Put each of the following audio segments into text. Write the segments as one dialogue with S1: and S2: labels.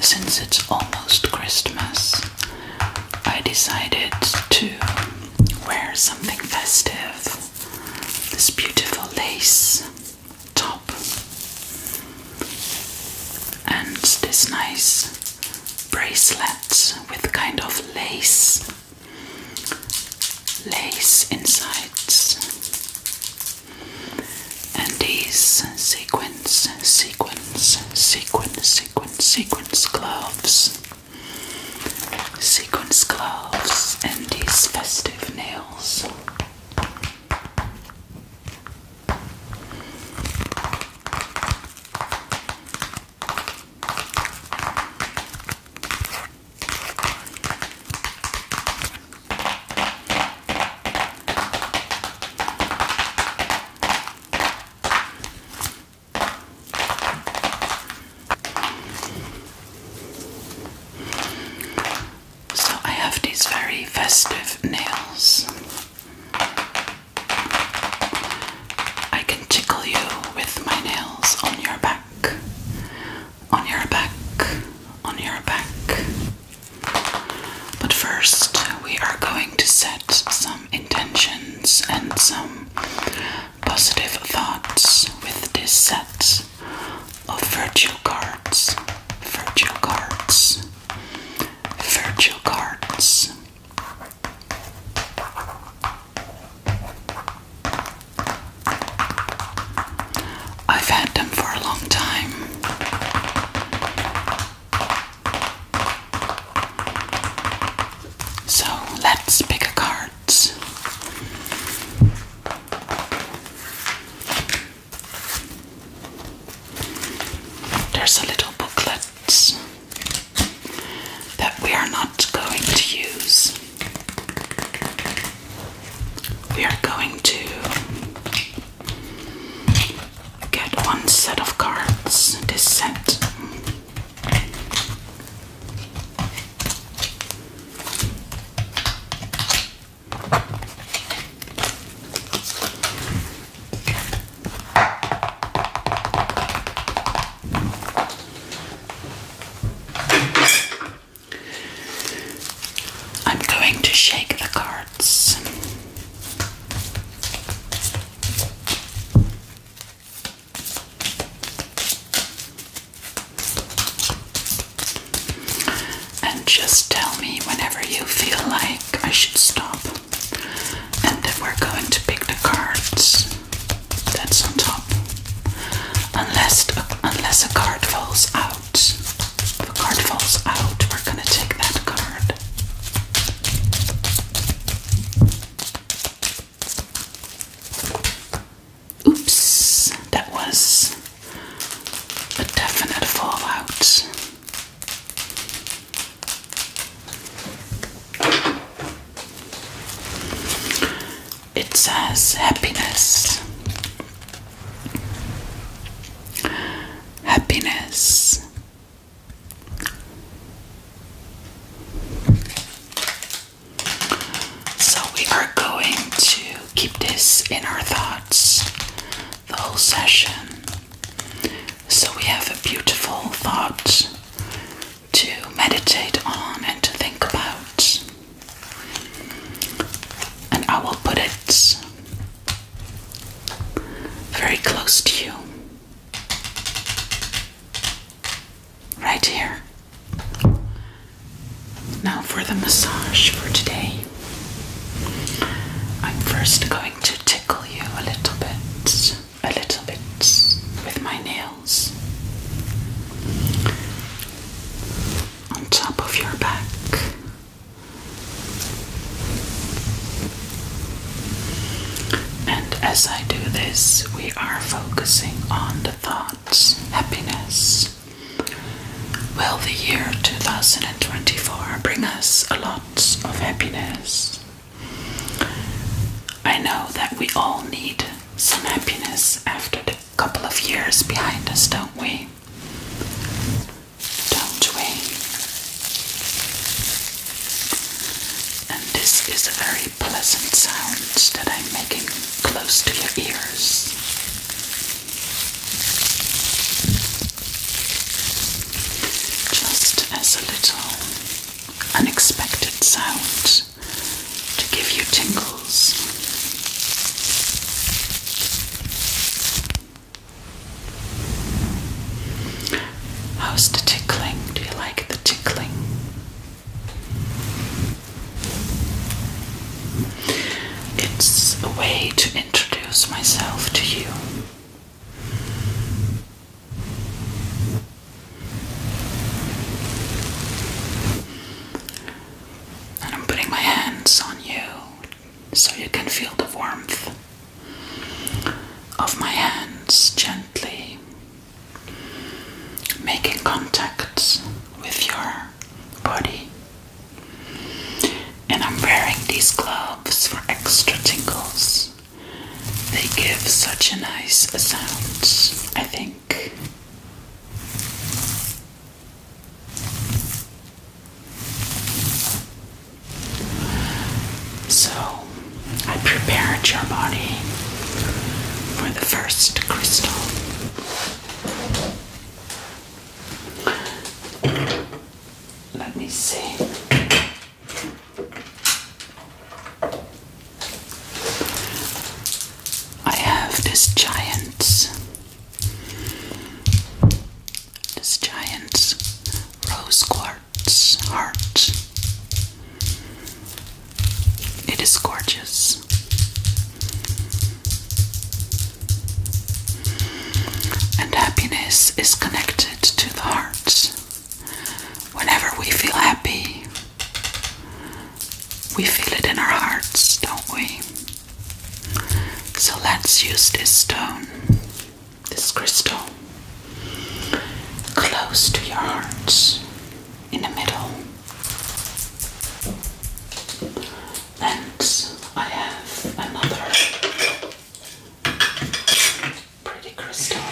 S1: Since it's almost Christmas, I decided to wear something festive. This beautiful lace top and this nice bracelet with kind of lace lace insides and these sequins, sequins, sequins, sequins, sequins gloves, sequins gloves, and these festive nails. So I have these very festive nails. I can tickle you with my nails on your back, on your back, on your back. But first, we are going to set some intentions and some positive thoughts with this set of virtual cards. Virtual cards. Virtual cards. I've had them for a long time. So let's pick a card. There's a little booklet that we are not going to use. We are going to get one set of cards, this set. I'm going to shake the card. And just tell me whenever you feel like I should stop. And then we're going to pick the cards that's on top. Unless, unless a card falls out. If a card falls out, we're going to take that card. Oops, that was a definite fallout. It says happiness happiness. So, we are going to keep this in our thoughts the whole session. So, we have a beautiful thought to meditate on and to think about. And I will put it very close to you. Right here. Now for the massage for today. I'm first going to tickle you a little bit, a little bit with my nails on top of your back. And as I do this, we are focusing on the thoughts, happiness. Will the year 2024 bring us a lot of happiness? I know that we all need some happiness after the couple of years behind us, don't we? don't we? And this is a very pleasant sound that I'm making close to your ears. Just as a little unexpected sound to give you tingles. How's the tickling? Do you like the tickling? It's a way to introduce myself to you. And I'm putting my hands on you so you can feel the warmth of my hands gently making contact with your body. And I'm wearing these gloves for extra tingles. They give such a nice sound, I think. So, I prepared your body for the first crystal. Let me see. I have this giant this giant rose quartz heart. It is gorgeous. And happiness is connected to the heart. Whenever we feel happy, we feel it in our hearts, don't we? So let's use this stone, this crystal, close to your hearts, in the middle. And I have another pretty crystal,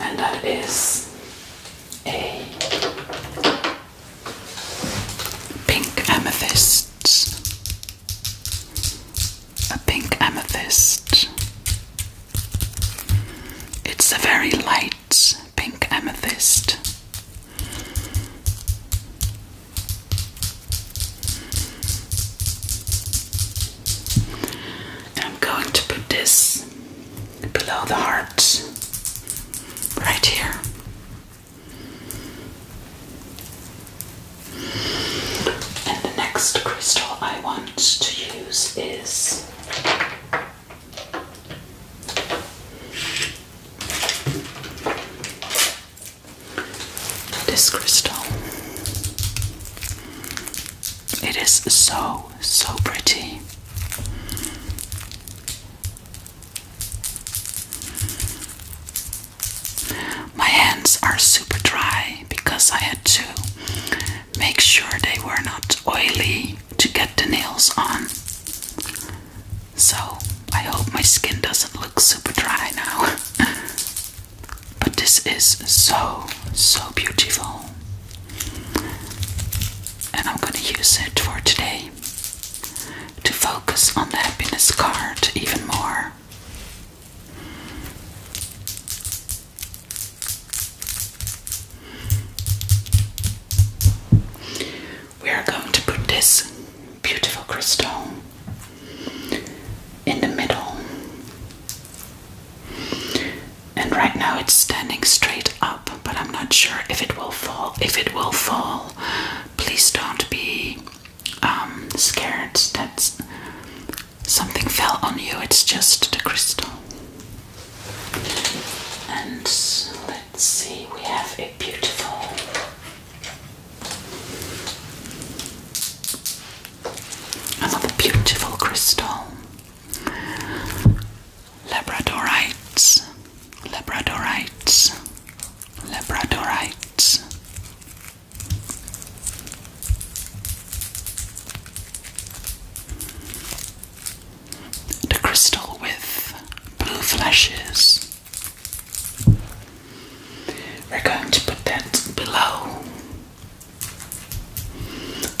S1: and that is a Pink amethysts. A pink amethyst. It's a very light pink amethyst. I'm going to put this below the heart, right here. And the next crystal I want to use is this crystal. It is so, so pretty. My hands are super dry because I had to make sure they were not oily to get the nails on. So I hope my skin doesn't look super dry now. but this is so, so beautiful. And I'm gonna use it for today to focus on the happiness card even more. We are going to put this beautiful crystal in the middle and right now it's standing straight up, but I'm not sure if it will fall. If it will fall, please don't be um, scared that something fell on you. It's just the crystal. And let's see, we have a beautiful another beautiful crystal. Labradorites, Labradorites, Labradorites. The crystal with blue flashes. We're going to put that below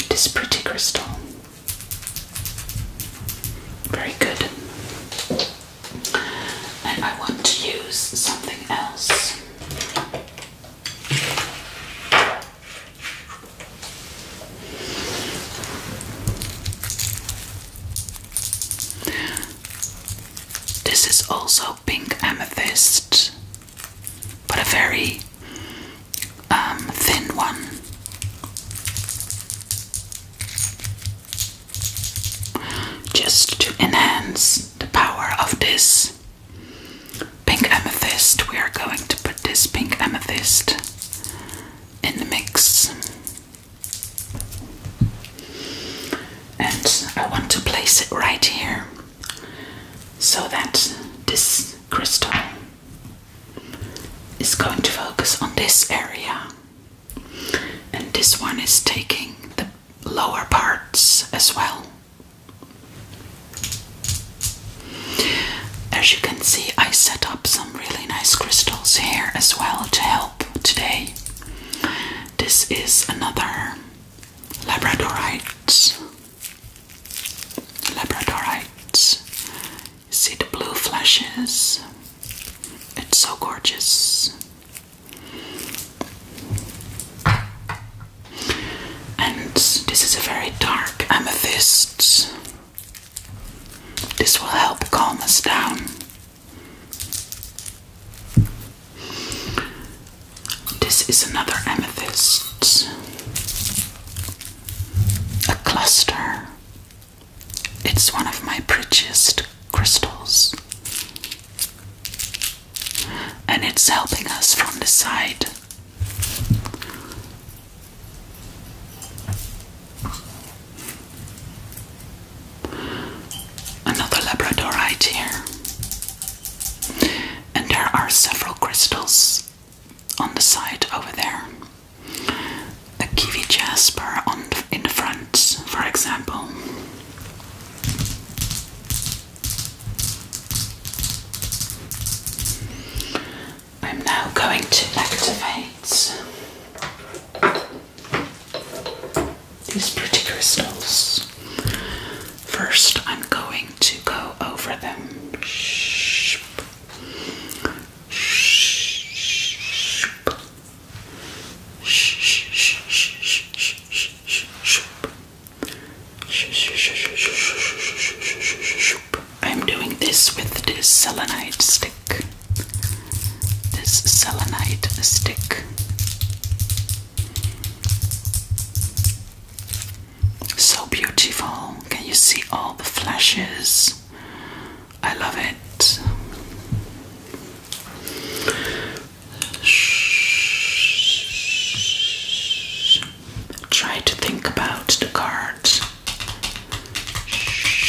S1: this pretty crystal. Very good. And I want to use something else. This is also pink amethyst, but a very um, thin one. Just to enhance the power of this pink amethyst, we are going to put this pink amethyst in the mix. And I want to place it right here so that this crystal is going to focus on this area, and this one is taking the lower parts as well. As you can see, I set up some really nice crystals here as well to help today. This is another labradorite. Labradorite See the blue flashes? It's so gorgeous. And this is a very dark amethyst. This will help calm us down. This is another amethyst a cluster. It's one of my prettiest crystals. And it's helping us from the side. Another labradorite here. And there are several crystals on the side over there, a kiwi jasper in the front, for example. I'm now going to activate these pretty crystals. First, I'm going to go over them. Shh. I'm doing this with this selenite stick. This selenite stick. So beautiful. Can you see all the flashes? I love it. Shh. Try to think about the card. Shh.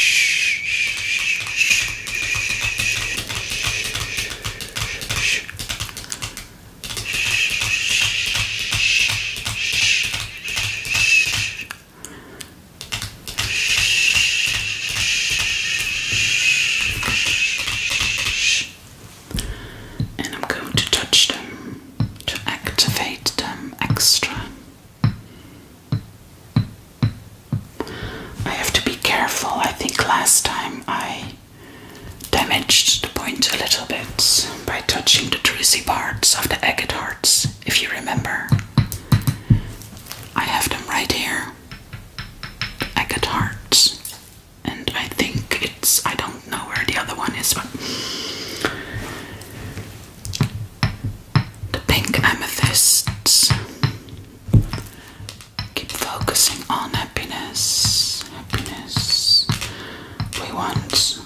S1: And I'm going to touch them to activate them extra. I have to be careful. I think last time I damaged the point a little bit by touching the juicy parts of the agate hearts, if you remember. I have them right here. The agate hearts. And I think it's. I don't know where the other one is, but. The pink amethysts keep focusing on happiness. Happiness. We want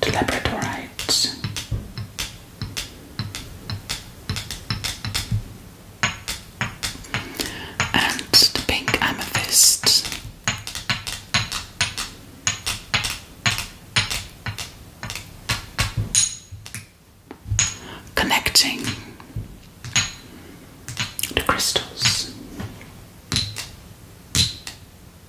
S1: to labradorites. And the pink amethyst. Connecting the crystals.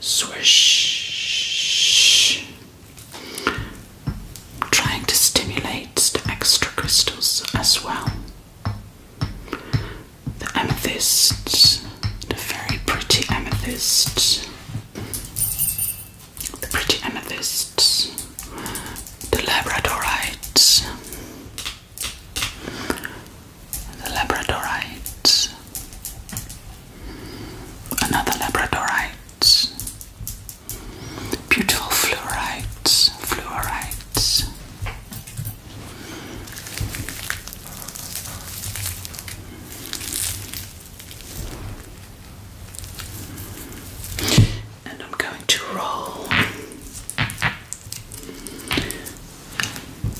S1: Swish. I'm trying to stimulate the extra crystals as well. The amethyst, the very pretty amethyst, the pretty amethyst, the labradorite, the labradorite, Another labradorite. Beautiful fluorites, fluorites. And I'm going to roll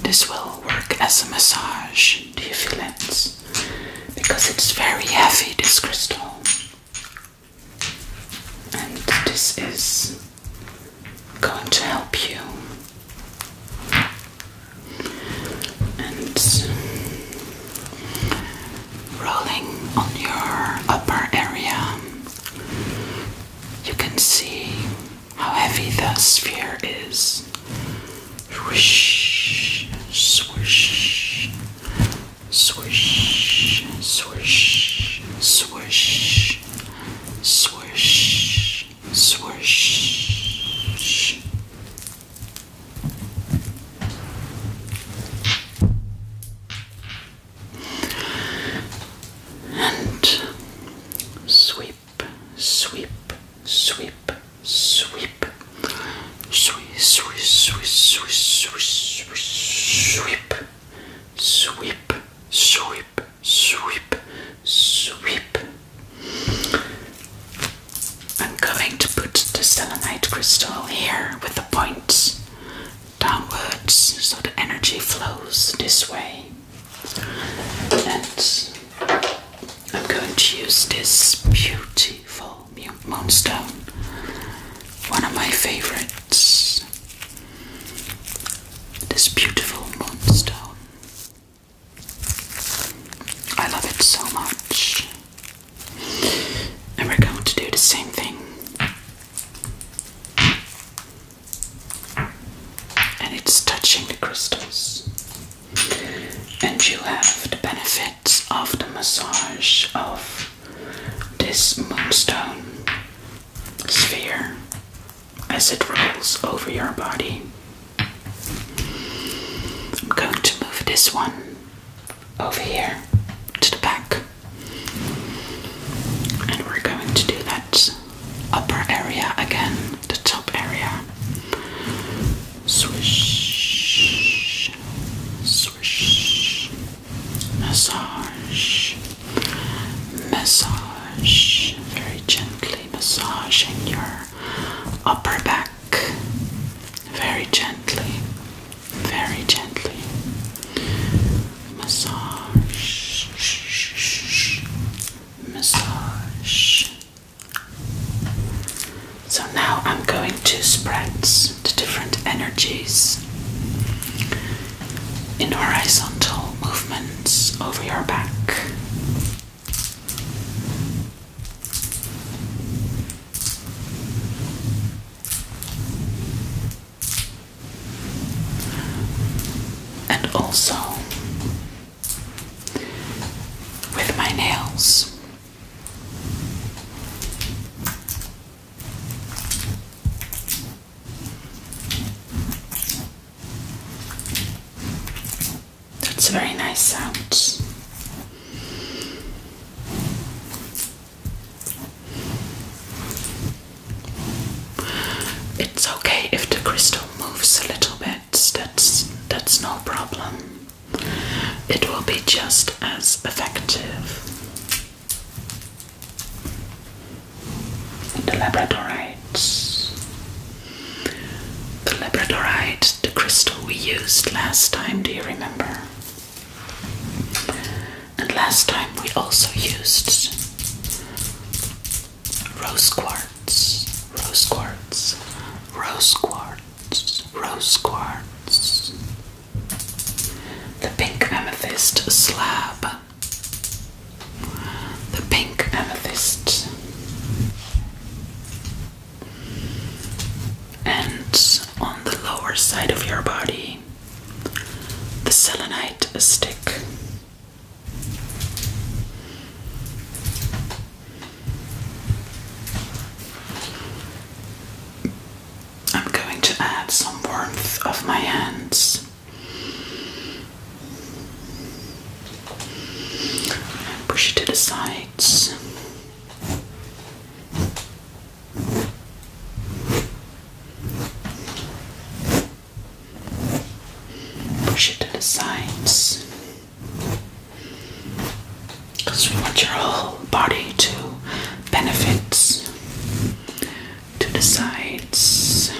S1: this will work as a massage. Do you feel it? Because it's very heavy, this crystal. And this is going to help you. And rolling on your upper area, you can see how heavy the sphere is. Swish, swish, swish, swish, swish, swish, swish. And sweep sweep, sweep, sweep, sweep, sweep, sweep, sweep, sweep, sweep, sweep, sweep, sweep, sweep. I'm going to put the selenite crystal here with the point downwards so the energy flows this way. And I'm going to use this beautiful moonstone, one of my favorites. This beautiful moonstone. I love it so much. And we're going to do the same thing. And it's touching the crystals and you have the benefits of the massage of this moonstone sphere as it rolls over your body. I'm going to move this one over here to the back, and we're going to do that upper area again, the top area. Swish, swish, massage, massage, very gently massaging your upper back, very gently, very gently. Massage, massage. So now I'm going to spread the different energies in horizontal movements over your back. And also with my nails. That's a very nice sound. It's okay if the crystal moves a little bit, that's, that's no problem. It will be just as effective. The labradorites. The labradorite, the crystal we used last time, do you remember? And last time we also used rose quartz, rose quartz, rose quartz, rose quartz. The pink amethyst slab. The pink amethyst. And on the lower side of your body, the selenite stick. I'm going to add some warmth of my hands and push it to the sides. Push it to the sides. Because we want your whole body to benefit to the sides.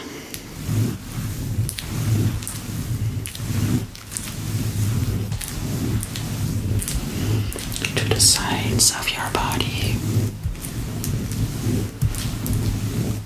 S1: To the sides of your body.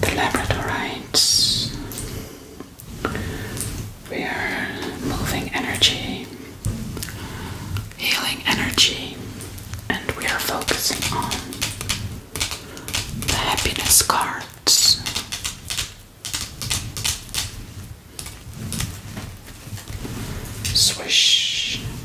S1: The Labradorites. We are moving energy, healing energy, and we are focusing on the happiness cards. Swish.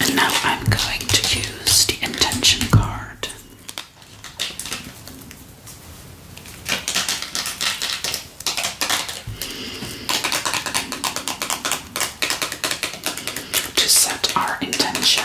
S1: And now I'm going to use the intention card. To set our intention.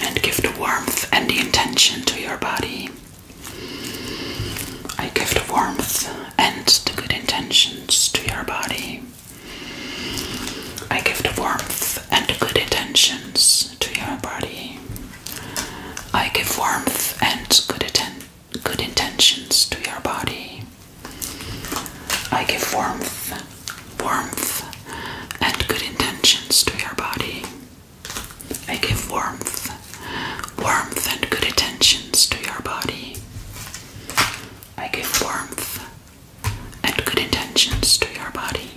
S1: And give the warmth and the intention to your body. I give the warmth and the good intentions to your body. I give the warmth and the good intentions to your body. I give warmth and good, atten good intentions to your body. I give warmth, warmth, and good intentions to your body. I give warmth, warmth, and good intentions to your body. I give warmth, and good intentions to your body.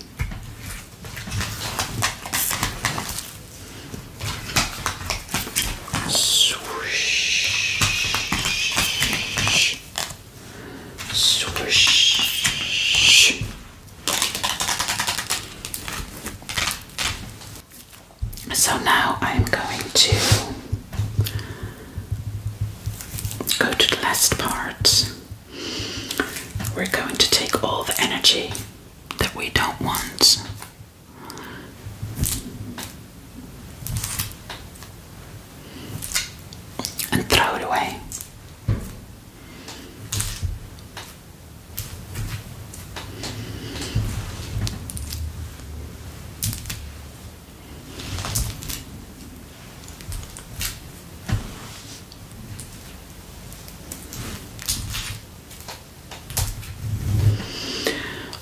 S1: So now I'm going to go to the last part we're going to take all the energy that we don't want. And throw it away.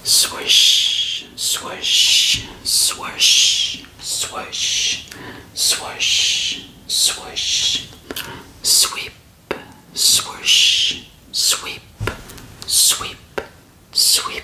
S1: Swish, swish, swish, swish, swish, swish, sweep, swish, sweep, sweep, sweep,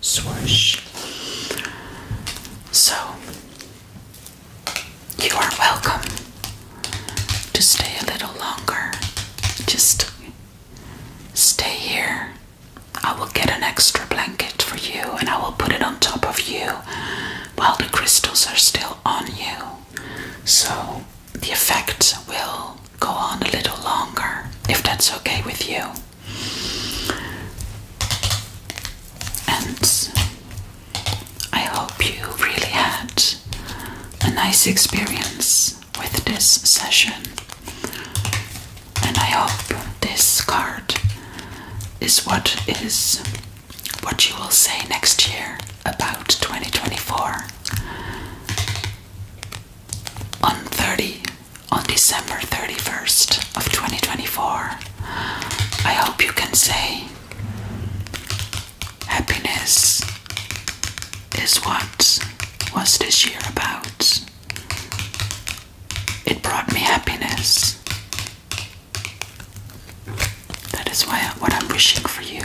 S1: swoosh. So, you are welcome to stay a little longer. Just stay here. I will get an extra blanket for you and I will put it on top of you while the crystals are still on you. So, the effect will go on a little longer if that's okay with you. And I hope you really had a nice experience with this session. And I hope this card is what is what you will say next year about 2024. On 30 on December 31st of 2024. I hope you can say happiness is what was this year about. It brought me happiness. That is why what I'm wishing for you.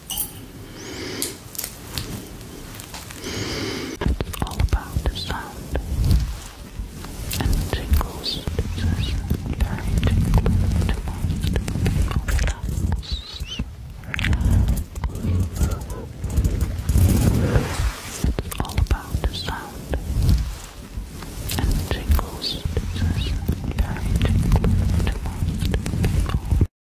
S1: It's all about the sound and tingles. It's very tingling to most people. It's all about the sound and tingles. It's very tingling to most people.